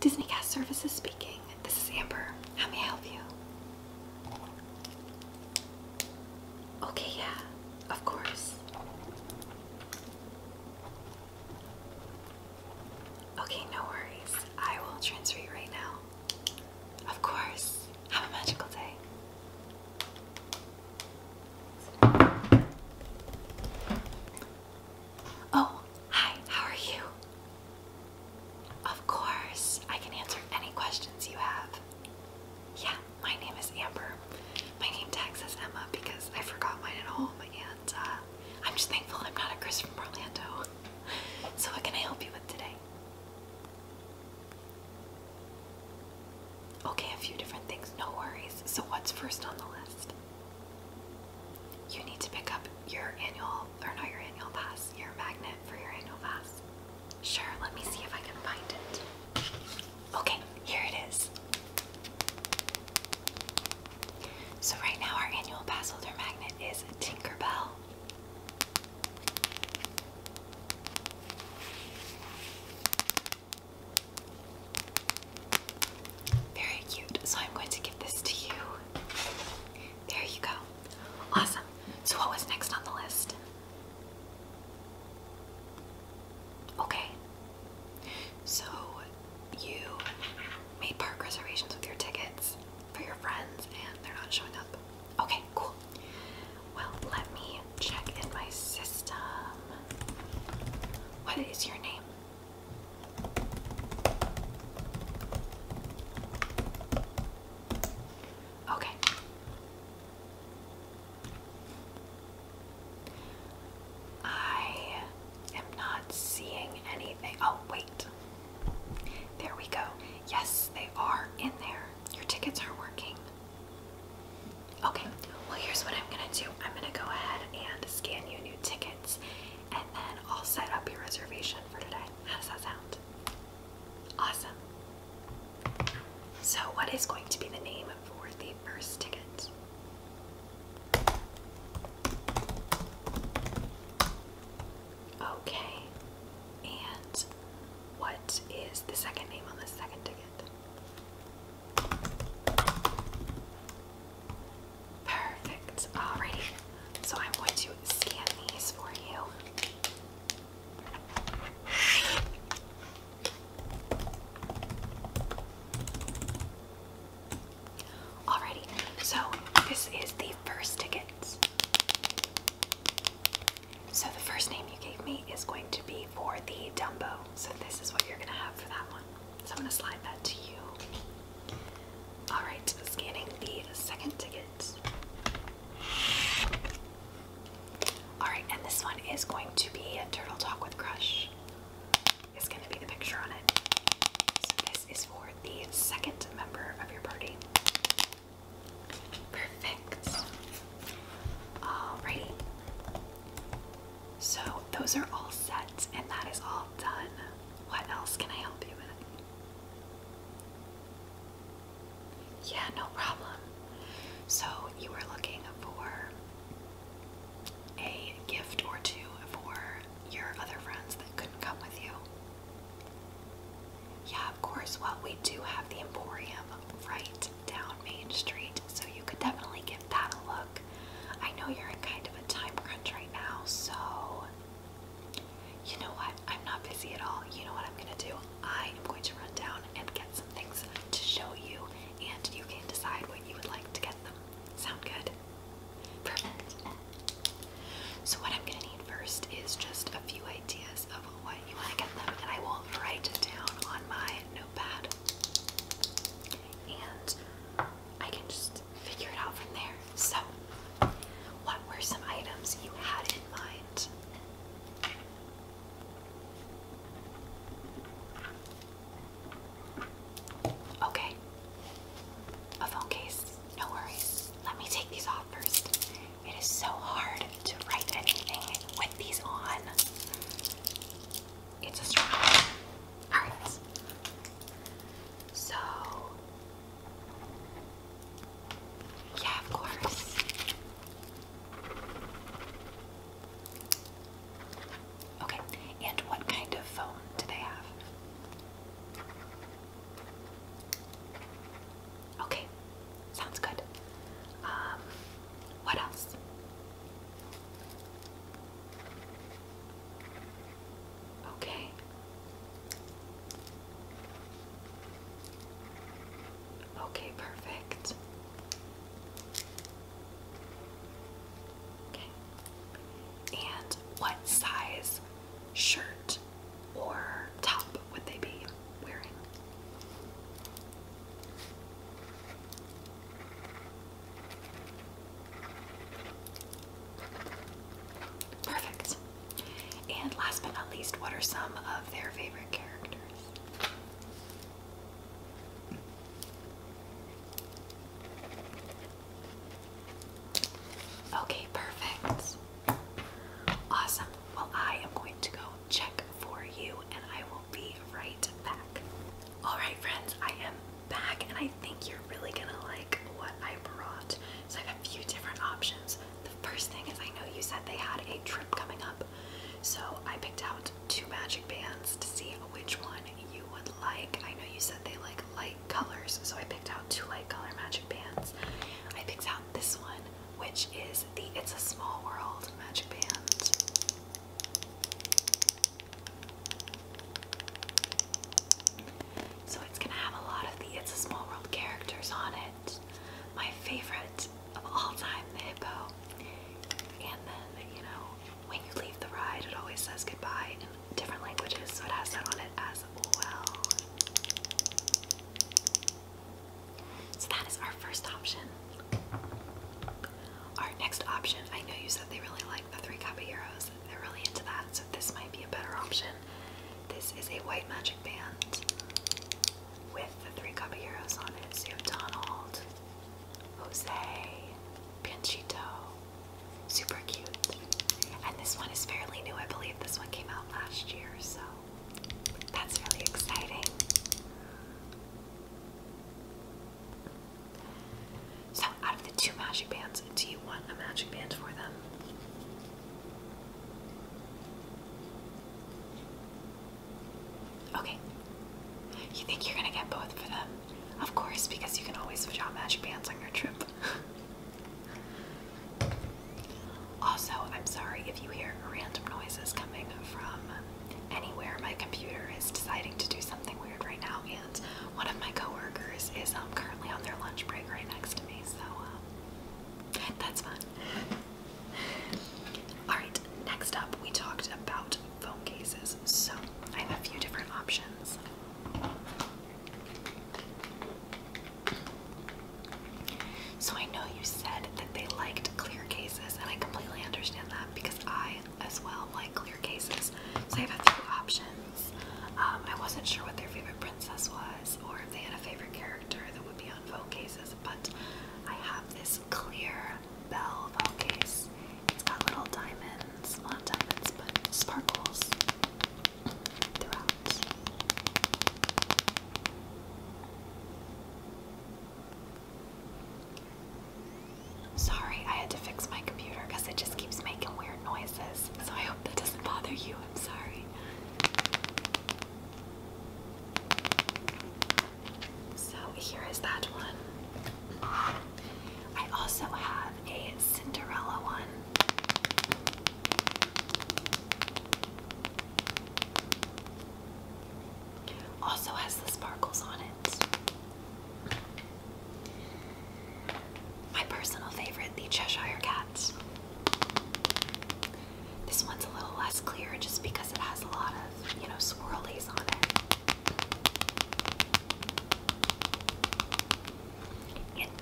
Disney Cast Services speaking. This is Amber. How may I help you? Okay, yeah, of course. Okay, no worries. I will transfer you right now. Of course. Have a magical day. Oh, hi, how are you? Of course, I can answer any questions you have. Yeah, my name is Amber. My name tag says Emma because I forgot mine at home, and uh, I'm just thankful I'm not a Chris from Orlando. So, what can I help you with today? Okay, a few different things, no worries. So, what's first on the list? You need to pick up your annual, or not your annual pass, your magnet for your annual pass. Sure, let me see if I can find it. Okay, here it is. So, right now, our annual pass holder magnet is Tinker Bell. Very cute. So I'm going to give this to you. There you go. Awesome. So what was next on the list? Okay. So you made park reservations with your tickets for your friends and they're not showing up. Okay, cool. Well, let me check in my system. What is your name? Okay. I am not seeing anything. Oh, wait. There we go. Yes, they are in there. Your tickets are working. Okay, well, here's what I'm gonna do I'm gonna go ahead and scan you new tickets, and then I'll set up your reservation for today. How does that sound? Awesome. So, what is going to be the name for the first ticket? Okay, and what is the second name on the second ticket? Perfect. Alrighty. So I'm going to scan these for you. Alrighty, so this is the first ticket. So the first name you gave me is going to be for the Dumbo so this is what you're gonna have for that one. So I'm gonna slide that to you. Alright, scanning the second ticket. Alright, and this one is going to be a Turtle Talk with Crush. It's gonna be the picture on it. So this is for the second member of your party. Perfect. Alrighty. So those are all set and that is all done. What else can I help you with? Yeah, no problem. So you were looking for a gift or two for your other friends that couldn't come with you. Yeah, of course. Well, we do have the Emporium right down Main Street, so you could definitely give that a look. I know you're in kind of a time crunch right now, so you know what? I'm not busy at all. You know what I'm gonna do? I am going to run down and get some things to show you, and you can decide what you would like to get them. Sound good? Perfect. So, what I'm gonna need first is just a few ideas of what you want to get them, and I will write it down on my notepad and I can just figure it out from there. So, what were some items you had in mind? Okay. A phone case. No worries. Let me take these off first. It is so hard to write anything with these on. It's a strong Alright. So yeah, of course. Okay, and what kind of phone do they have? Okay, sounds good. Um, what else? Okay. Okay, perfect. Okay. And what size shirt or top would they be wearing? Perfect. And last but not least, what are some of their favorite characters? Okay, perfect. Awesome. Well, I am going to go check for you and I will be right back. Alright friends, I am back and I think you're really gonna like what I brought. So I have a few different options. The first thing is I know you said they had a trip coming up. So I picked out two magic bands to see which one you would like. I know you said they like light colors, so I picked out two light color magic bands. I picked out this one, which is the It's a Small World magic band. So it's gonna have a lot of the It's a Small World characters on it. My favorite of all time, the hippo. And then, you know, when you leave the ride, it always says goodbye in different languages, so it has that on it as well. So that is our first option. Our next option, I know you said they really like the Three Caballeros, they're really into that, so this might be a better option. This is a white magic band with the Three Caballeros on it. So you have Donald, Jose, Pinchito, Super cute. And this one is fairly new, I believe this one came out last year, so that's really exciting. So, out of the two magic bands, do you want a magic band for them? Okay. You think you're gonna get both for them? Of course, because you can always switch out magic bands on your trip. also, I'm sorry if you hear random noises coming from anywhere my computer is deciding to do something weird right now. And one of my coworkers is um, currently on their lunch break right next to me, so um, that's fun. Alright, next up we talked about phone cases. So I have a few different options. So I know you said that they liked clear cases, and I completely understand that because I as well, like clear cases. So I have a few options. Um, I wasn't sure what their favorite princess was or if they had a favorite character that would be on Vogue cases, but I have this clear bell Vogue case. It's got little diamonds, not diamonds, but sparkles throughout. Sorry, I had to fix my computer because it just keeps making weird noises. So I hope that doesn't bother you. I'm sorry. So here is that one. I also have a Cinderella one. Also has the sparkles on it. My personal favorite, the Cheshire Cats. This one's a little less clear just because it has a lot of, you know, swirlies on it.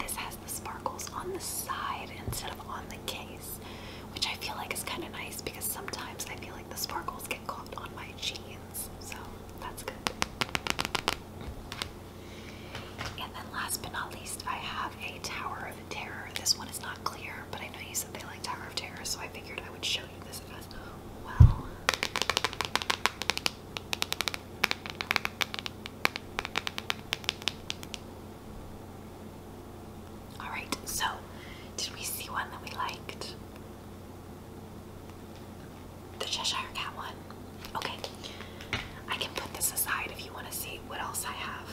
this has the sparkles on the side instead of on the case, which I feel like is kind of nice because sometimes I feel like the sparkles get tickled on my jeans, so that's good. And then last but not least, I have a Tower of Terror. This one is not clear, but I know you said they like Tower of Terror, so I figured I would show you this as well. Alright, so did we see one that we liked? The Cheshire Cat one. Okay. I can put this aside if you want to see what else I have.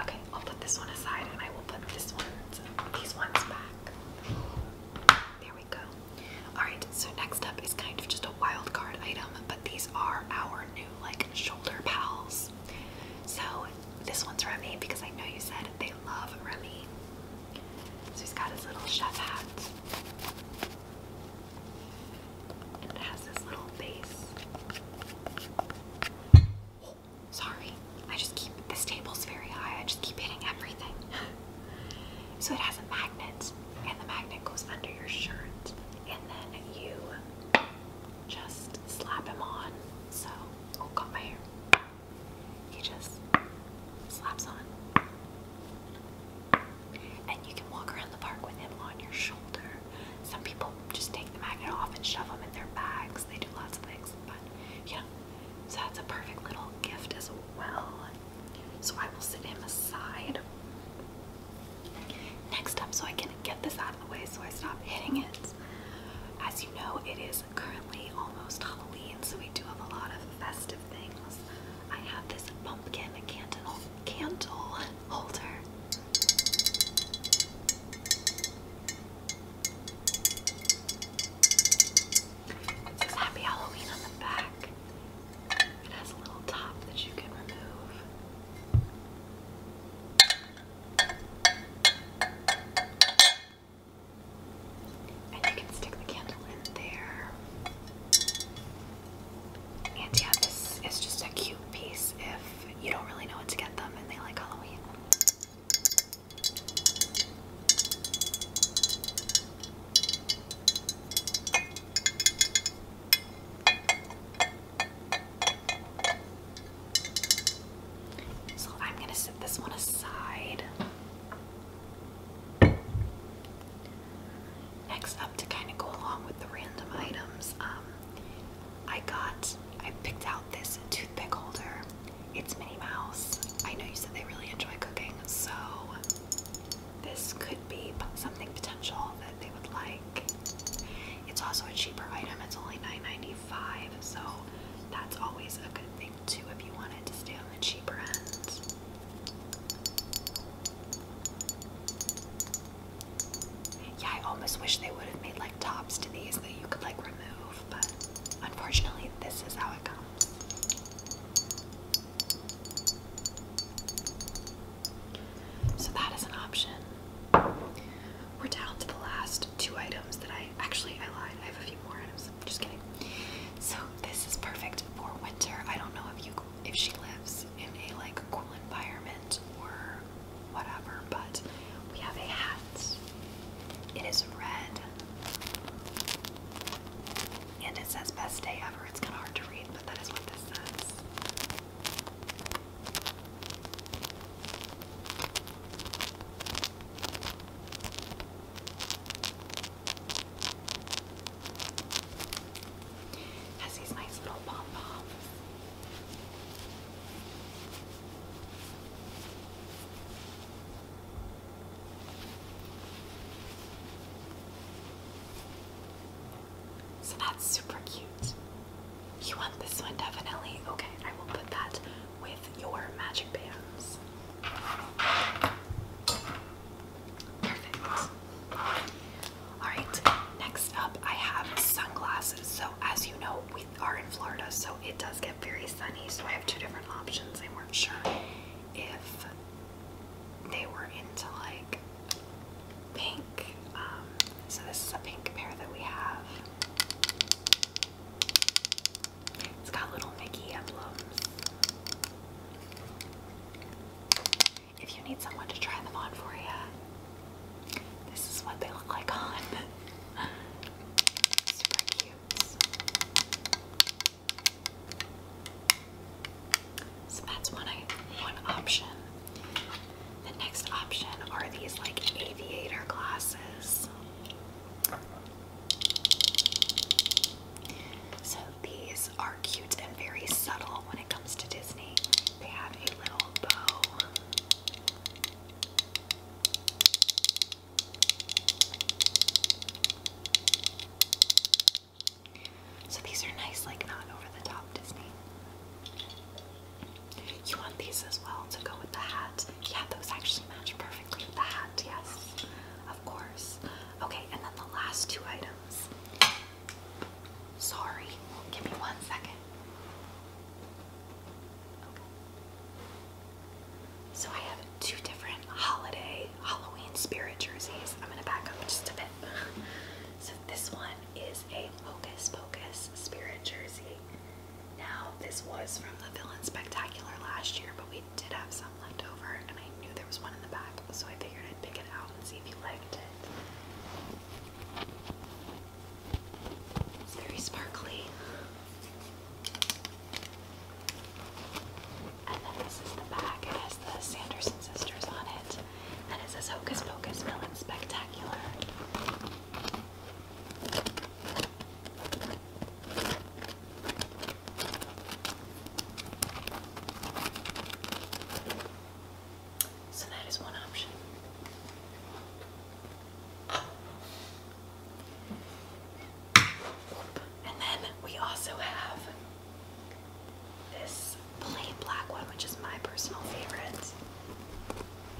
Okay, I'll put this one aside and I will put this one, these ones back. There we go. Alright, so next up is kind of just a wild card item, but these are our new like shoulder pals. So this one's Remy because I know you said they love Remy. So he's got his little chef hat. And it has this little base. Oh, sorry. I just keep this table's very high. I just keep hitting everything. so it has a magnet, and the magnet goes under your shirt, and then you just slap him on. So, oh, got my hair. He just slaps on. And you can walk around the park with him on your shoulder. Some people just take the magnet off and shove them in their bags. They do lots of things, but yeah. So that's a perfect little gift as well. So I will set him aside. Next up, so I can get this out of the way so I stop hitting it. As you know, it is currently almost Halloween, so we do have a lot of festive things. I have this pumpkin candle candle holder. It says Happy Halloween on the back. It has a little top that you can remove. And you can stick the candle in there. And yeah, this is just a cute piece if you don't really know what to get them and they like Halloween. So I'm going to set this one aside. Next up, to kind of go along with the random items, um, I got, I picked out this toothpick holder. It's Minnie Mouse. I know you said they really enjoy cooking, so this could be something potential that they would like. It's also a cheaper item. It's only $9.95, so that's always a good thing too if you want it to stay on the cheaper end. Yeah, I almost wish they would have made like tops to these that you could like remove, but unfortunately, this is how it comes. So that is an option. We're down to the last two items that I actually I lied. I have a few more items. I'm just kidding. So this is perfect for winter. I don't know if you if she lives in a like cool environment or whatever, but we have a hat. It is red. And it says best day ever. It's kind of hard to read, but that is what this says. Has these nice little pom poms. So that's super cute. You want this one definitely? Okay, I will put that with your magic bands. Perfect. Alright, next up I have sunglasses. So, as you know, we are in Florida, so it does get very sunny. So, I have two different options. I weren't sure if they were into like pink. Um, so, this is a pink pair that we have. It's got little Mickey emblems. If you need someone to try them on for you, this is what they look like on. Super cute. So that's one option. The next option are these like aviator glasses. So these are cute and very subtle when it comes to Disney. They have a little bow. So these are nice, like not over the top Disney. You want these as well to go with the hat? Yeah, those actually match perfectly with the hat, yes, of course. Okay, and then the last two items. Sorry, give me one second. Okay. So I have two different holiday Halloween spirit jerseys. I'm gonna back up just a bit. so this one is a Hocus Pocus spirit jersey. Now this was from the Villain Spectacular last year, but we did have some some and I knew there was one in the back, so I figured I'd pick it out and see if you liked it. It's very sparkly. And then this is the back. has the Sanderson sisters on it. And it says Hocus Pocus Villain Spectacular. So that is one option. And then we also have this plain black one, which is my personal favorite.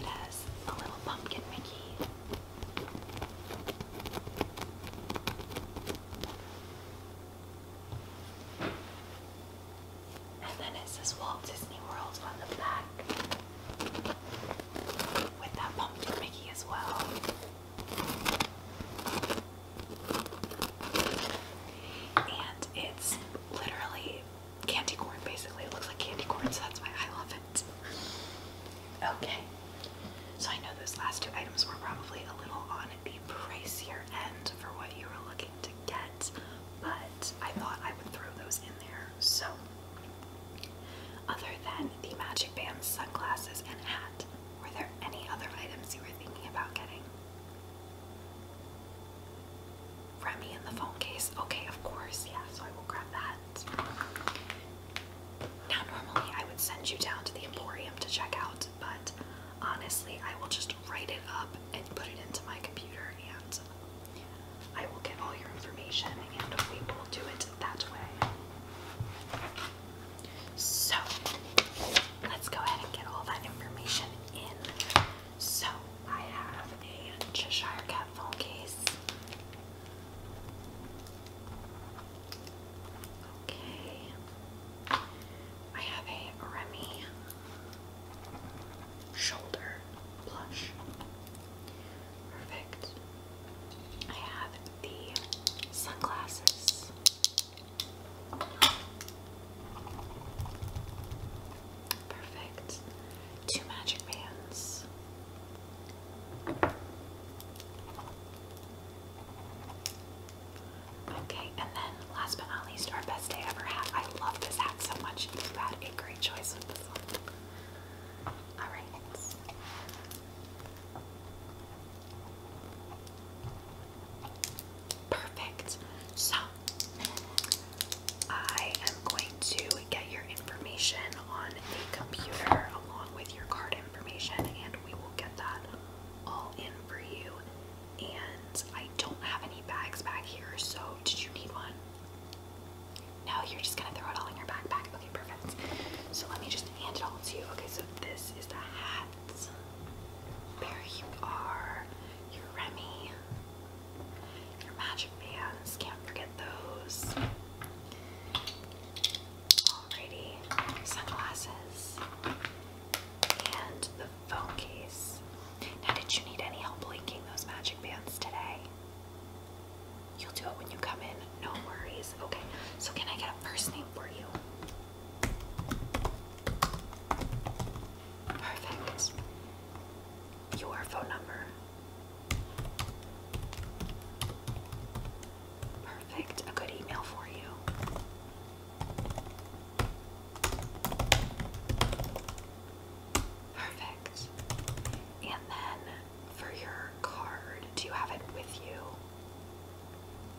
It has a little pumpkin Mickey. And then it says Walt Disney World on the back with that pumpkin Mickey as well. And it's literally candy corn, basically. It looks like candy corn, so that's why I love it. Okay, so I know those last two items were probably a little on the pricier end for what you were looking to get, but I thought I would throw those in there. So, other than the Magic Band sunglasses and hat, were there any other items you were thinking about getting? Remy in the phone case. Okay, of course, yeah, so I will grab that. Now, normally I would send you down to the Emporium to check out, but honestly, I will just write it up and put it into my computer, and I will get all your information, and we will do it that way. So, let's go ahead and get all that information in. So, I have a Cheshire Cat phone case. Okay. I have a Remy shoulder blush. Perfect. I have the sunglasses. Perfect. Two magic bands. Okay, and then last but not least, our best day ever I love this hat so much. You had a great choice with this one. Alright. Perfect. So, I am going to get your information on the computer along with your card information, and we will get that all in for you and I don't have any bags back here, so did you need one? No, you're just gonna throw it all in your backpack. Okay, perfect. So let me just hand it all to you. Okay, so this is the hat. There you are. Your Remy. Your magic bands. Can't forget those. Alrighty. Sunglasses. And the phone case. Now, did you need any help linking those magic bands today? You'll do it when you come in. No worries. Okay. So, can I get a first name for you? Perfect. Your phone number. Perfect. A good email for you. Perfect. And then for your card, do you have it with you?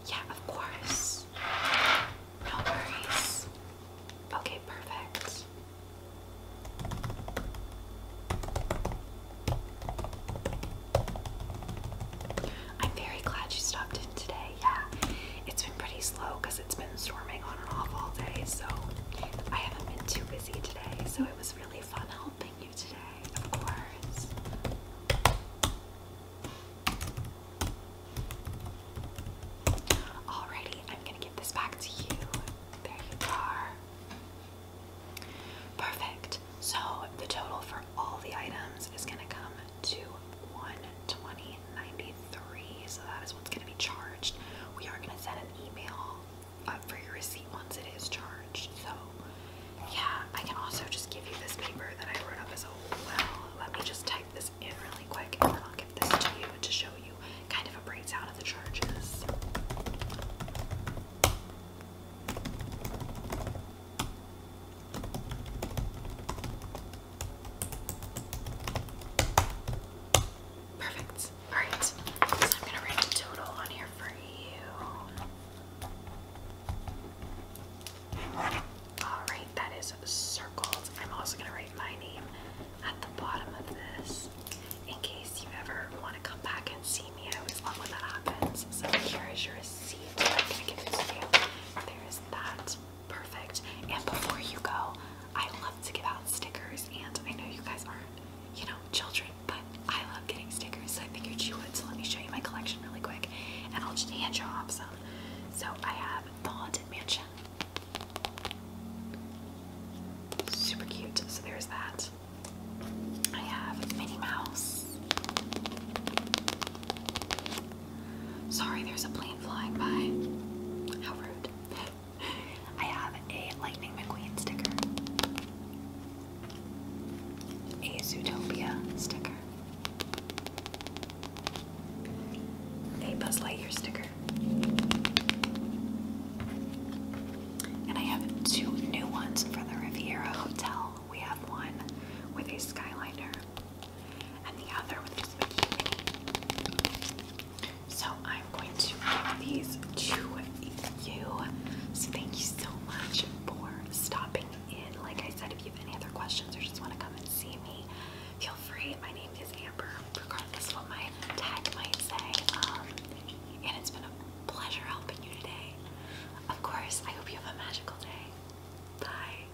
Yeah, of course. No worries. Okay, perfect. I'm very glad you stopped in today yeah, it's been pretty slow because it's been storming on and off all day, so I haven't been too busy today. So it was really fun helping you today, of course. Alrighty, I'm gonna give this back to you. There you are. Perfect. So the total for all the items is gonna come to 12093. So that is what's going to be charged. We are going to send an email uh, for your receipt once it is charged. So yeah, I can also just give you this paper that I wrote up as a well. Let me just type this in really quick and then I'll give this to you to show you kind of a breakdown of the charges. Perfect. Alright, I'm gonna write a total on here for you. Alright, that is circled. I'm also gonna write my name at the bottom of this in case you ever want to come back and see me. I always love when that happens. So here is your receipt. There is that. Perfect. And before you go, I love to give out stickers, and I know you guys aren't, you know, children, but I love getting stickers, so I figured you would. So let me show you my collection really quick, and I'll just hand you off some. So I have the Haunted Mansion. Super cute. So there's that. I have Minnie Mouse. Sorry, there's a plane flying by. How rude. I have a Lightning McQueen sticker, a Zootopia sticker, a Buzz Lightyear sticker, and I have two new ones for the Riviera Hotel. We have one with a Skyliner and the other with just a bikini. So I'm going to give these to you. So thank you so much for stopping in. Like I said, if you have any other questions or just want to come and see me, feel free. My name is Amber, regardless of what my tag might say. Um, and it's been a pleasure helping you today. Of course, I hope you have a magical day. Bye.